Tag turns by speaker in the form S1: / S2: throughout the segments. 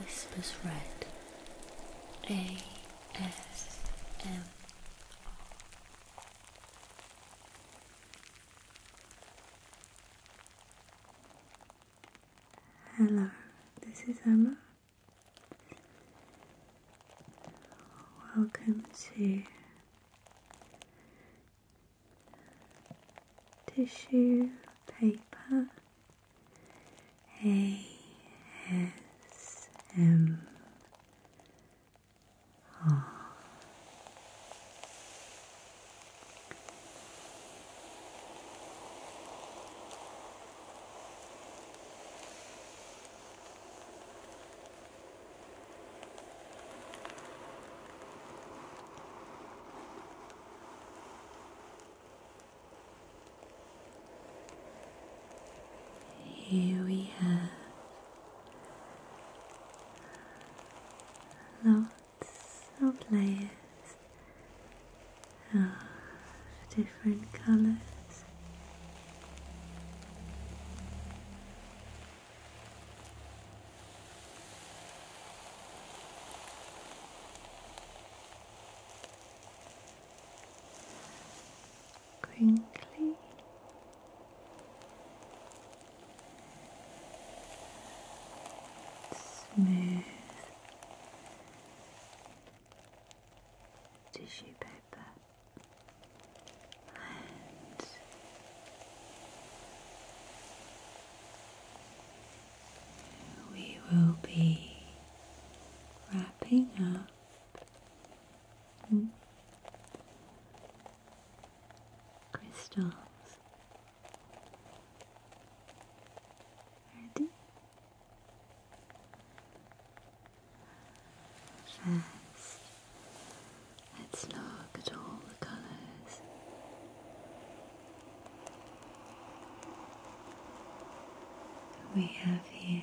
S1: Whispers Red ASM Hello, this is Emma Welcome to Tissue Paper ASMR. Here we have lots of layers different colors. Crinkly. Smooth tissue paper and we will be wrapping up crystals. Ready? First, let's look at all the colours. We have here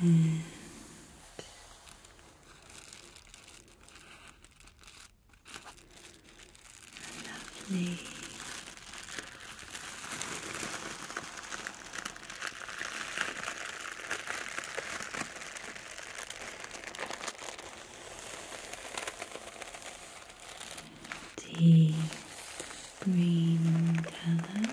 S1: and deep green color.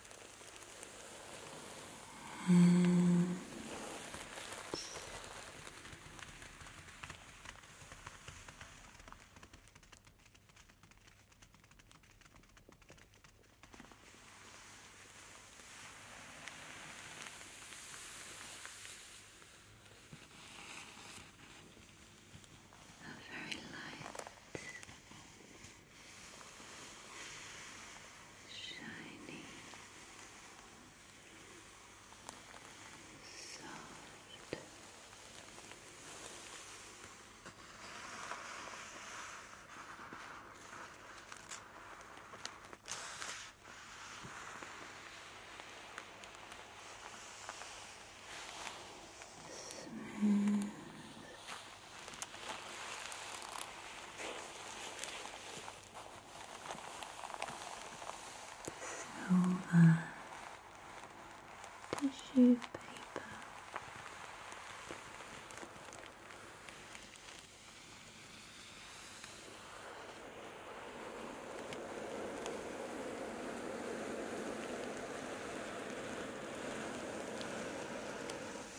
S1: hands. Hmm. A very light shiny, soft. Smooth silver tissue paper.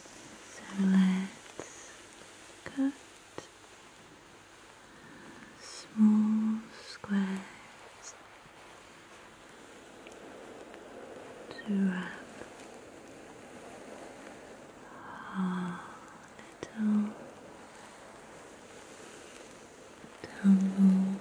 S1: So let's cut small squares to wrap our little tumbled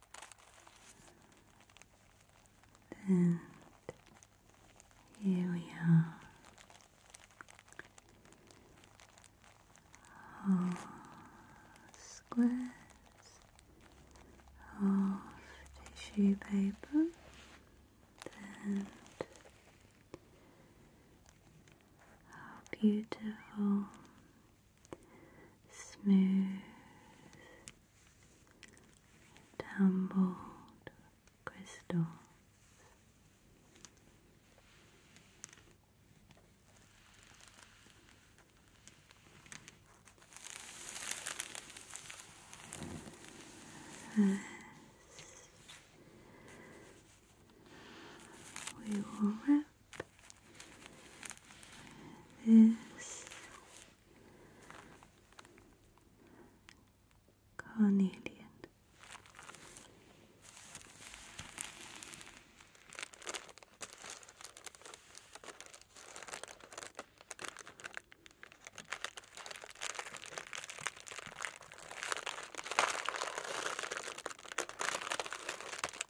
S1: And here we are. All squares of tissue paper and how beautiful smooth, tumbled crystals. First, we will this carnelian.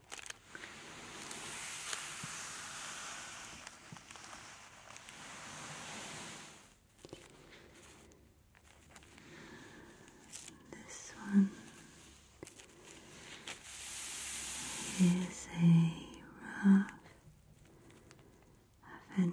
S1: This one is a rough aventurine.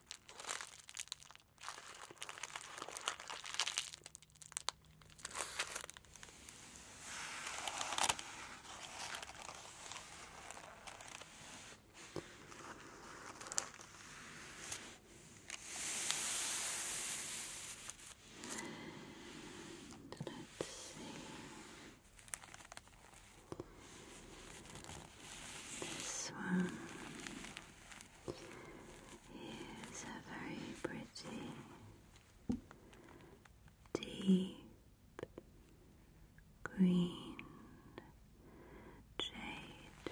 S1: And let's see. This one is a very pretty deep green jade.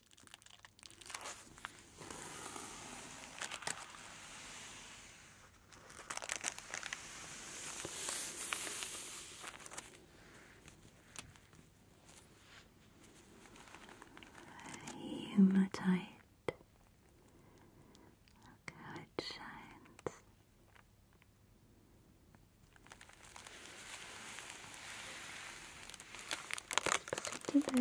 S1: Hematite. Look how it shines. Let's it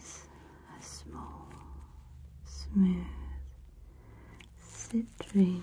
S1: is a small, smooth citrine.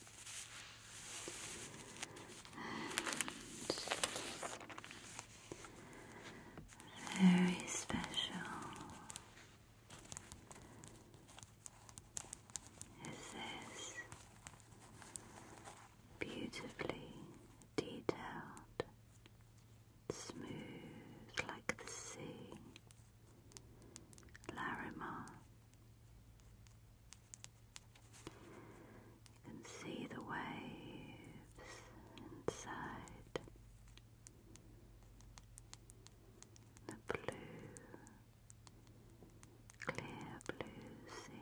S1: And very special is this beautifully detailed, smooth like the sea, Larimar. You can see the waves inside the blue, clear blue sea.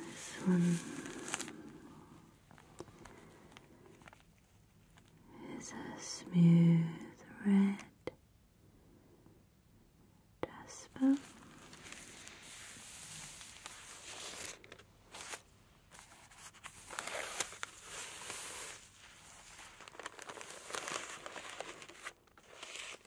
S1: this one is a smooth red jasper.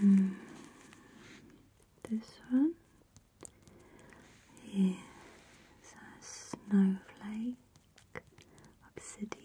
S1: Um, this one Here's a snowflake obsidian. Let's put it there.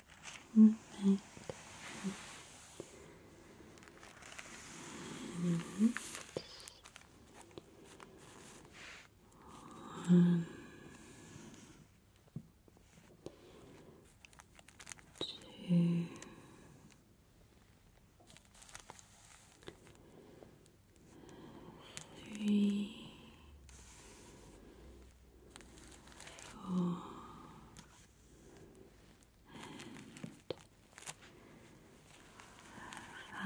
S1: Perfect. And one, two,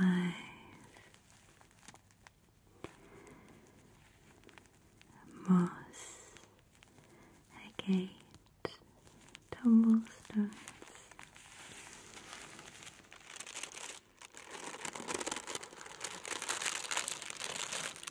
S1: and five moss agate tumblestones.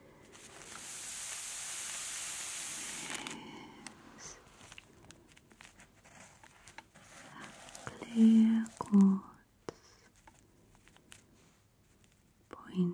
S1: clear quartz point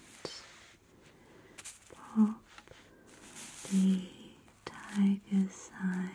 S1: pop the tiger's eye inside.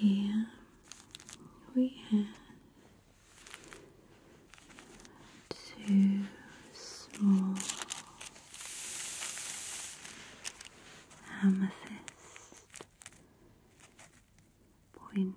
S1: Here we have two small amethyst points.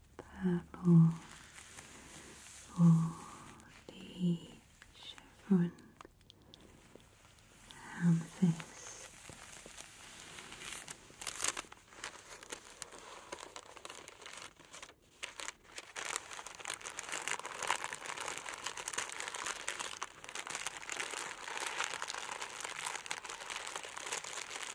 S1: purple for the chevron amethyst.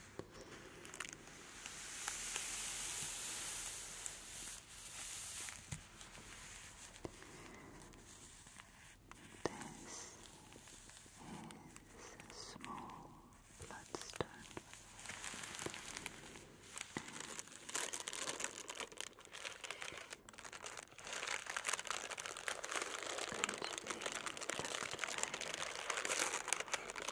S1: This is a small bloodstone. And going to be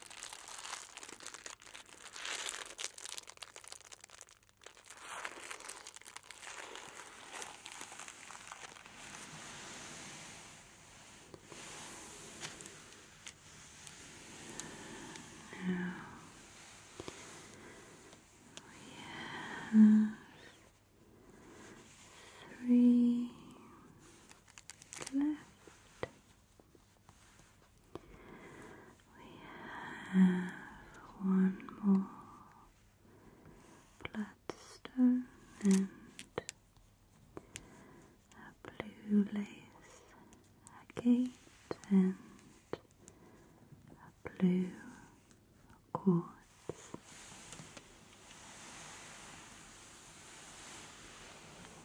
S1: Now we have three left. We have one more bloodstone and a blue lace, a gate and a blue quartz.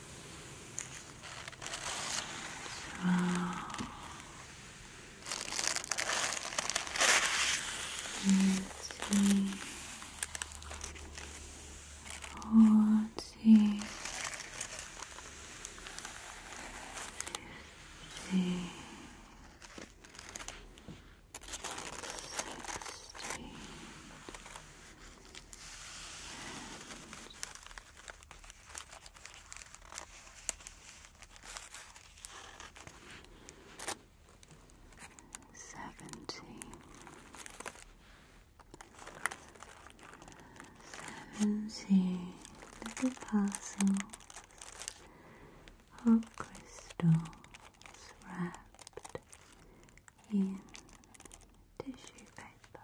S1: So let Seventy seventy little parcels of crystals wrapped in tissue paper.